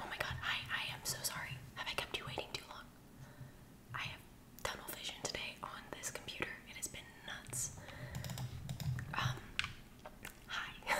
Oh my god, I I am so sorry. Have I kept you waiting too long? I have tunnel vision today on this computer. It has been nuts. Um, hi.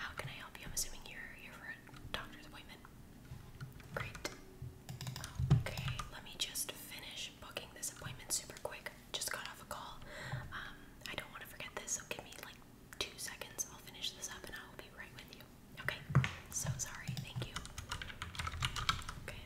How can I help you? I'm assuming you're here for a doctor's appointment. Great. Okay, let me just finish booking this appointment super quick. Just got off a call. Um, I don't want to forget this, so give me like two seconds. I'll finish this up and I will be right with you. Okay, so sorry. Thank you. Okay,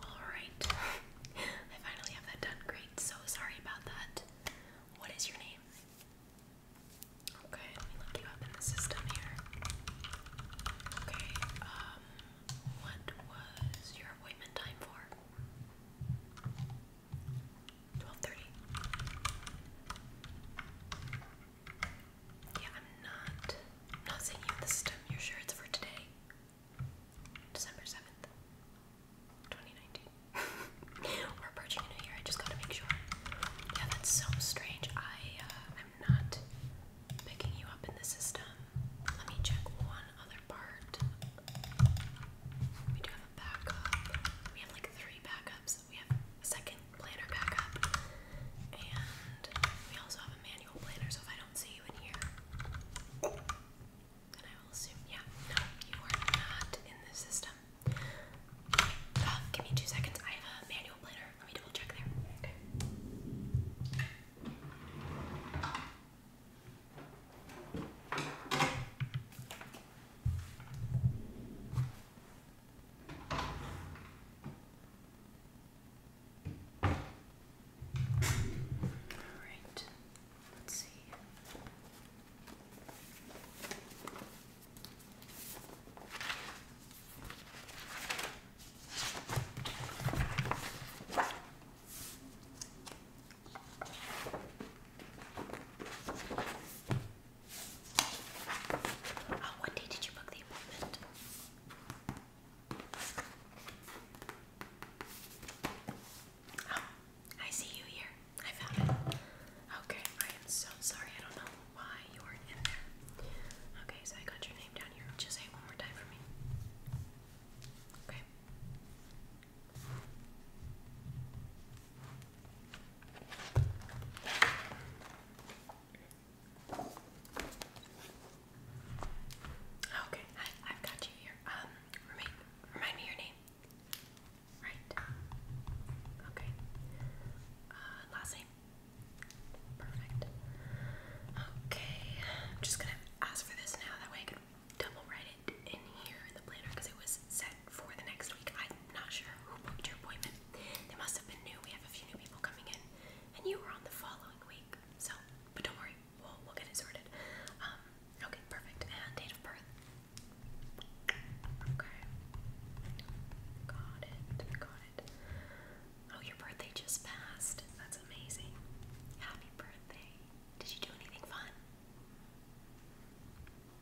Alright. I finally have that done. Great. So sorry about that. What is your name? Okay, let me look you up in the system here. Okay, um, what was your appointment time for? 12.30. Yeah, I'm not, not saying you have the system. You're sure it's for today? December 7th, 2019. We're approaching a new year, I just gotta make sure. Yeah, that's so strange. I, am uh, not picking you up in the system. Let me check one other part. We do have a backup. We have like three backups. We have a second planner backup. And we also have a manual planner, so if I don't see you in here, I will assume, yeah, no, you are not in the system. Uh, give me two seconds. I have a manual planner. Let me double check there. Okay. All right. Let's see. Oh, what day did you book the appointment? Oh, I see you here. I found it. Okay, I am so sorry. I don't know why you were in there. Okay, so I got your name down here. Just say one more time for me. Okay. Oh, okay, I, have got you here. Um, remind, remind me your name. Right. Okay. Uh, last name. Perfect. Okay, I'm just gonna ask for this now. That way double write it in here in the planner because it was set for the next week. I'm not sure who booked your appointment. They must have been new. We have a few new people coming in, and you were on the following week. So, but don't worry, we'll, we'll get it sorted. Um, okay, perfect. And date of birth. Okay. Got it. Got it. Oh, your birthday just passed. That's amazing. Happy birthday. Did you do anything fun?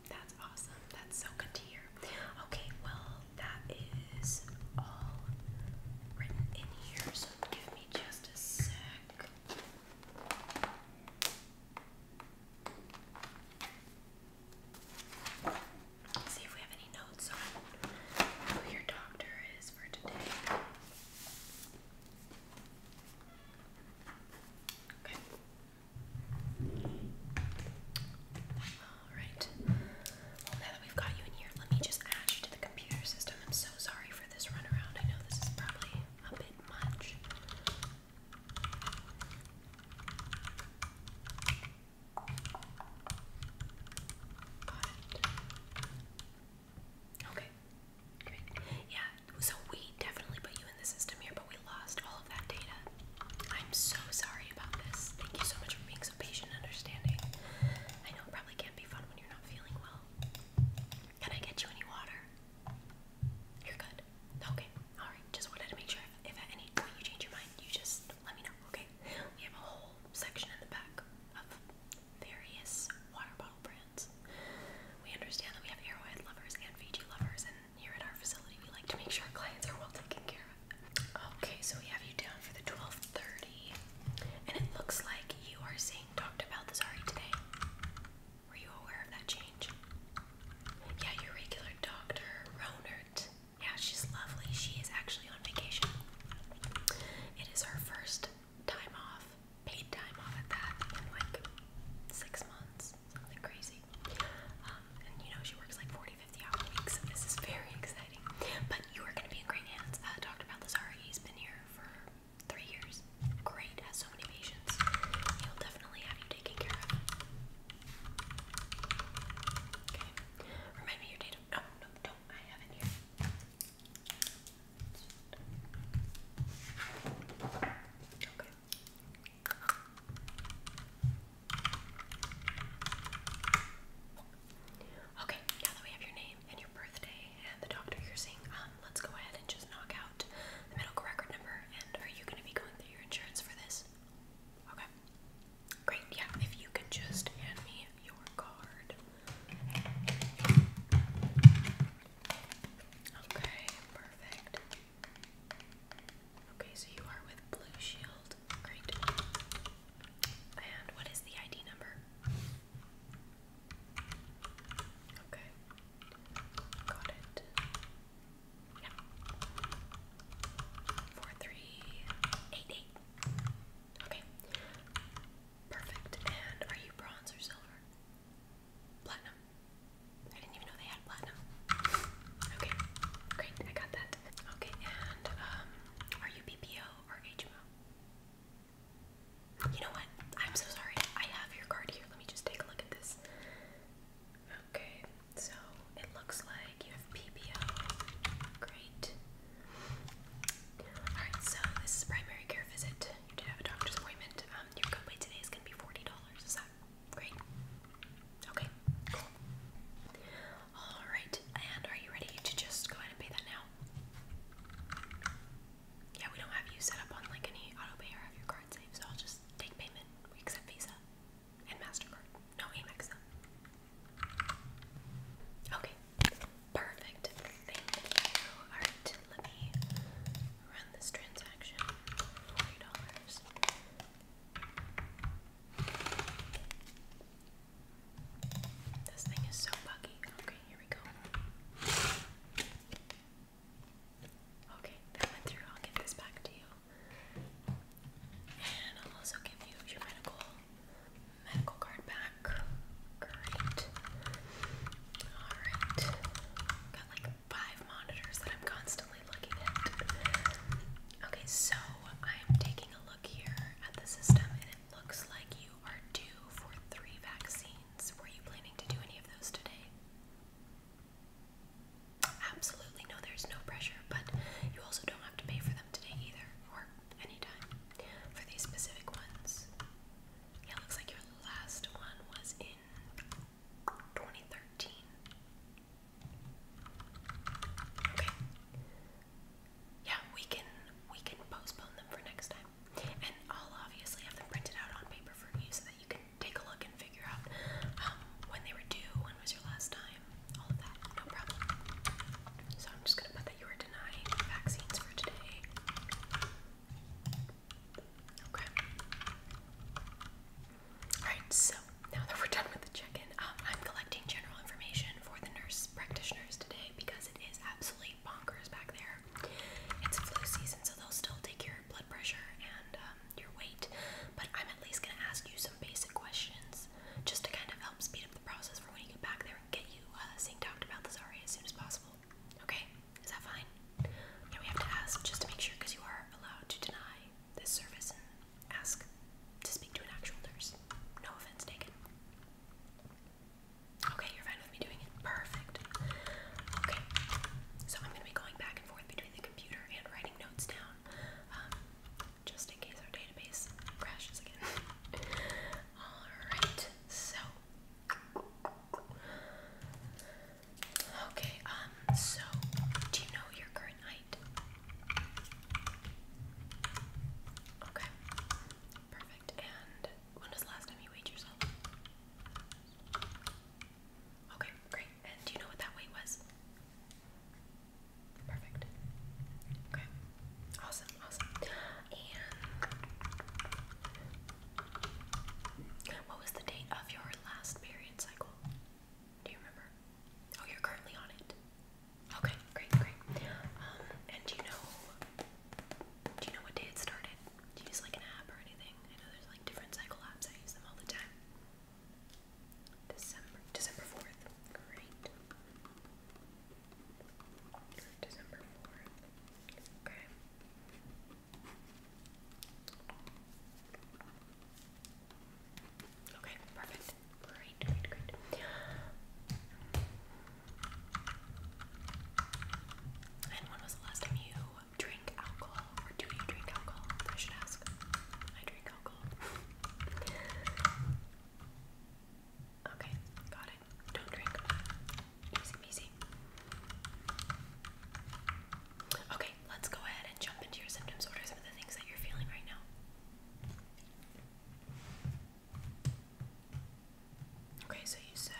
That's awesome. That's so good to hear. Okay, well, that is all written in here, so give me just a sec. See if we have any notes on who your doctor is for today. Okay. Alright. Well, now that we've got you in here, let me just add you to the computer system. I'm so sorry for this is probably a bit much. okay. Yeah, so we definitely put you in the system here, but we lost all of that data. I'm so sorry about this. Thank you so much for being so patient and understanding. I know it probably can't be fun when you're not feeling well. Can I get you any water? You're good. Okay. All right. Just wanted to make sure if, at any point you change your mind, you just let me know. Okay. We have a whole section in the back of various water bottle brands. We understand that we have airway lovers and Fiji lovers, and here at our facility, we like to make sure our clients are well taken care of. Okay, so we have you down for the 12:30, and it looks like you are Singh talked about this today. Were you aware of that change? Yeah, your regular doctor, Ronert. Yeah, she's lovely. She is actually on vacation. It is her first time off, paid time off at that, like six months, something crazy. Um, and you know, she works like 40, 50 hour weeks, so this is very exciting. But you are going to be in great hands. Uh, Dr. Baldessari, he's been here for Three years. Great. Has so many patients. He'll definitely have you taken care of. Okay. Remind me your date of. No, don't. I have it here. Okay. Okay, we have your name, and your birthday, and the doctor you're seeing, um, let's go ahead and just knock out the medical record number. And are you going to be going through your insurance for this? Okay. Great. Yeah, if you could just hand me your card. Okay, perfect. Okay, so you are with Blue Shield. Great. And what is the ID number? Okay. Got it. Yeah. Four, three, eight, eight. Okay. Perfect. And are you bronze or silver? Platinum. I didn't even know they had platinum. Okay. Great. I got that. Okay. And um, are you BPO or HMO? You know what? I'm so sorry. I have your card here. Let me just take a look at this. Okay, so it looks like you have PPO. Great. Alright, so this is primary care visit. You did have a doctor's appointment. Um, your copay today is going to be $40. Is that great? Okay, cool. Alright, and are you ready to just go ahead and pay that now? Yeah, we don't have you set up on like any auto pay or have your card saved, so I'll just take payment. We accept Visa and MasterCard. No, Amex Okay. Perfect. Thank you. Alright, let me run this transaction. Forty dollars. This thing is so buggy. I here we go. Okay, that went through. I'll give this back to you. And I'll also give you your medical medical card back. Great. Alright. Got like five monitors that I'm constantly looking at. Okay, so I'm taking a look here at the system and it looks like you are due for three vaccines routines. Were you planning to do any of those today? Absolutely, no, there's no pressure, but you also don't have to pay for them today either, or anytime, for these specific ones. Yeah, looks like your last one was in 2013. Okay. Yeah, we can we can postpone them for next time. And I'll obviously have them printed out on paper for you so that you can take a look and figure out um, when they were due, when was your last time, all of that, no problem. So I'm just gonna put that you were denying vaccines for today. Okay. Alright, so now that we're done with the check-in, um, I'm collecting general information for the nurse practitioners today because it is absolutely really bonkers back there. It's flu season, so they'll still take your blood pressure and um, your weight, but I'm at least going to ask you some basic questions just to kind of help speed up the process for when you get back there and get you uh, synced out about this RA as soon as possible. Okay? Is that fine? Yeah, we have to ask just to make sure because you are allowed to deny this service and ask to speak to an actual nurse. No offense taken. Okay, you're fine with me doing it. Perfect. Okay, so I'm gonna be going back and forth between the computer and writing notes down, um, just in case our database crashes again. All right. So, okay. Um. So, do you know your current height? Okay. Perfect. And when was the last time you weighed yourself? Okay, great. And do you know what that weight was? Perfect. Okay. Awesome, awesome. And what was the date of your last period cycle? Do you remember? Oh, you're currently on it. Okay, great, great. Um, and you know do you know what day it started? Do you use like an app or anything? I know there's like different cycle apps. I use them all the time. December December 4th. Great. December 4th. Okay. Okay, perfect. Great, great, great. And when was the last time you drank alcohol? Or do you drink alcohol? I should ask. I drink alcohol. okay, got it. Don't drink. Easy peasy. Okay, let's go ahead and jump into your symptoms. What some of the things that you're feeling right now? Okay, so you said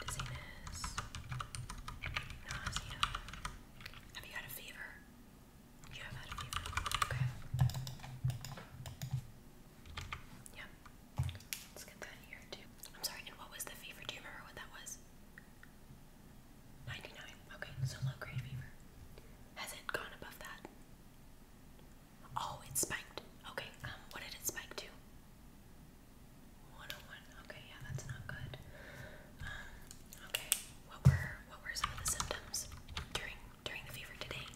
dizziness, nausea. Have you had a fever? You have had a fever. Okay. Yeah. Let's get that here too. I'm sorry, and what was the fever? Do you remember what that was? 99. Okay, so low grade fever. Has it gone above that? Oh, it spiked. Okay, um, what did it spike to? 101. Okay, yeah, that's not good. Um, okay. What were what were some of the symptoms during during the fever today?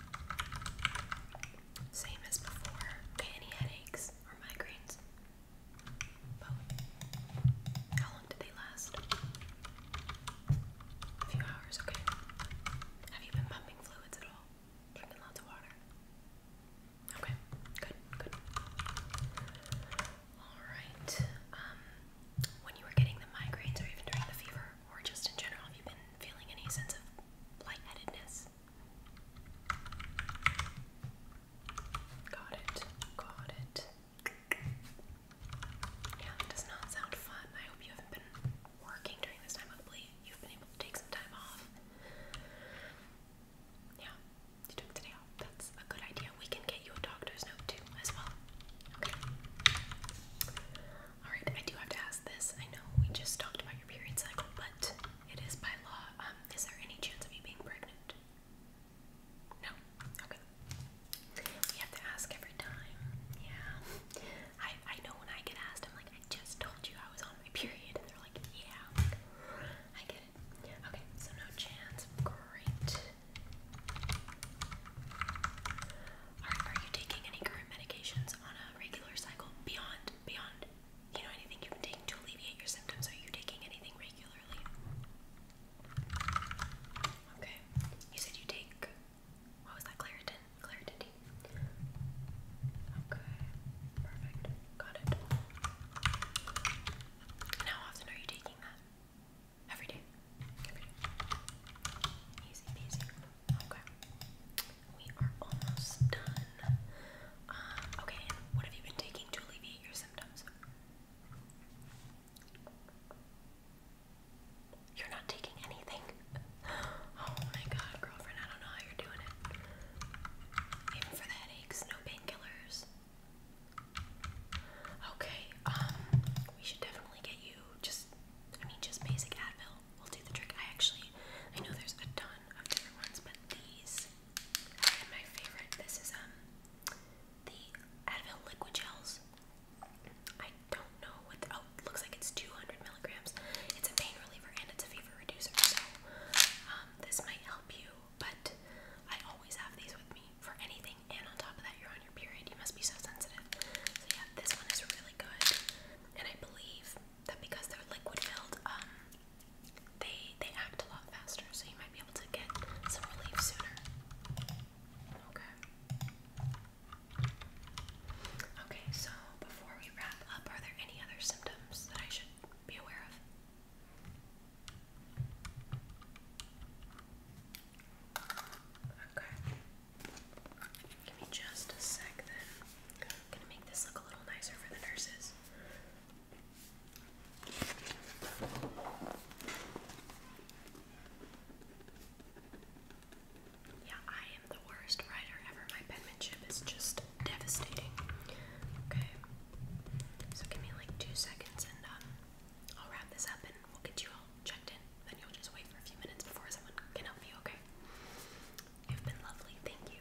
Same as before. any headaches or migraines? Both. How long did they last? A few hours, okay. Have you been pumping fluids at all? Drinking lots of water. Okay, good, good. Alright, um, when you were getting the migraines or even during the fever, or just in general, have you been feeling any sense of lightheadedness? Got it, got it. Yeah, it does not sound fun. I hope you haven't been working during this time, of hopefully you've been able to take some time off. Yeah, you took today off. That's a good idea. We can get you a doctor's note too, as well. Alright, I do have to ask this. I know we just talked about your period cycle, but it is by law. Um, is there any chance of you being pregnant? No? Okay. We have to ask every time. Yeah. I I know when I get asked, I'm like, I just told you I was on my period. And they're like, yeah, I get it. Okay, so no chance. Great. Are, you taking any current medications on a regular cycle beyond, beyond, you know, anything you've been taking to alleviate your symptoms? Are you taking anything regularly? Okay. You said you take, what was that, Claritin? clarity. Okay, perfect. Got it. how often are you taking that? Every day. Every day. Easy peasy. Okay. We are almost done. Um, okay, what have you been taking to alleviate your symptoms? You're not taking anything. oh my god, girlfriend, I don't know how you're doing it. Even for the headaches, no painkillers. Okay, um, we should definitely get you just, I mean, just basic Advil will do the trick. I actually, I know there's a ton of different ones, but these are my favorite. This is, um, the Advil liquid gels. I don't know what, oh, looks like it's 200 it's a pain reliever and it's a fever reducer, so um, this might help you. But I always have these with me for anything, and on top of that, you're on your period. You must be so sensitive. So yeah, this one is really good, and I believe that because they're liquid filled, um, they they act a lot faster. So you might be able to get some relief sooner. Okay. Okay, so before wrap up, are there any other symptoms that I should be aware of? Okay. Give me just a sec then. gonna make this look a little nicer for the nurses. Yeah, I am the worst writer ever. My penmanship is just devastating. Okay. So give me like two seconds and um, I'll wrap this up and we'll get you all checked in. Then you'll just wait for a few minutes before someone can help you, okay? You've been lovely. Thank you.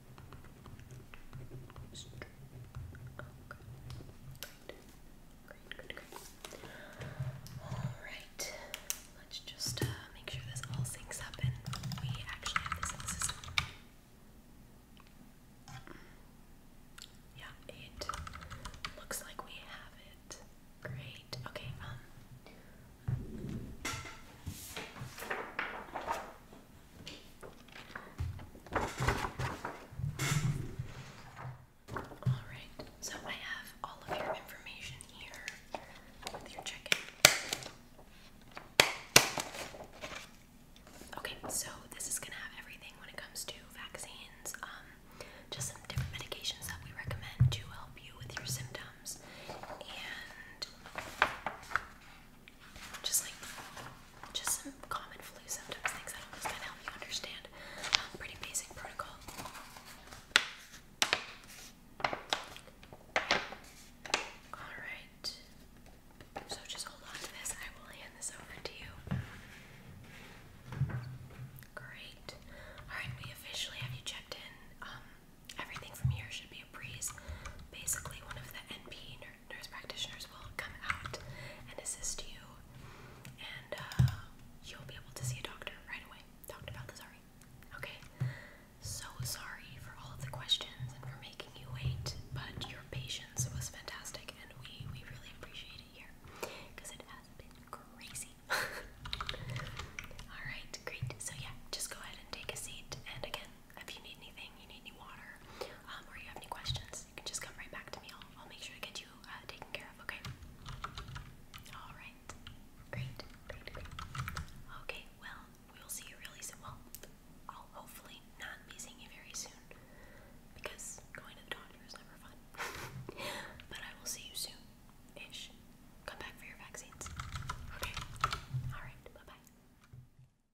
Alright, let's just uh, make sure this all syncs up and we actually have this in the system. Yeah, it looks like we have it. Great. Okay, um, Alright, so I have all of your information here with your check in. Okay, so this is gonna have everything when it comes to vaccines, um, just some different medications that we recommend to help you with your symptoms, and just like just some common flu symptoms, things that always kind of help you understand um, pretty basic protocol. All right. So just hold on to this. I will hand this over to you. Great. All right. We officially have you checked in. Um, everything from here should be a breeze. Basically, one of the NP nurse practitioners will come out and assist you, and uh, you'll be able to see a doctor right away. Dr. Balthazari. Okay? So sorry for all of the questions and for making you wait, but your patience was fantastic, and we, we really appreciate it here because it has been crazy. Alright, great. So, yeah, just go ahead and take a seat, and again, if you need anything, you need any water, um, or you have any questions, you can just come right back to me. I'll, make sure to get you uh, taken care of, okay? All right. great, great. Okay, well, we'll see you really soon. Well, I'll hopefully not be seeing you very soon because going to the doctor is never fun. but I will see you soon ish. Come back for your vaccines. Okay. All right. Bye bye.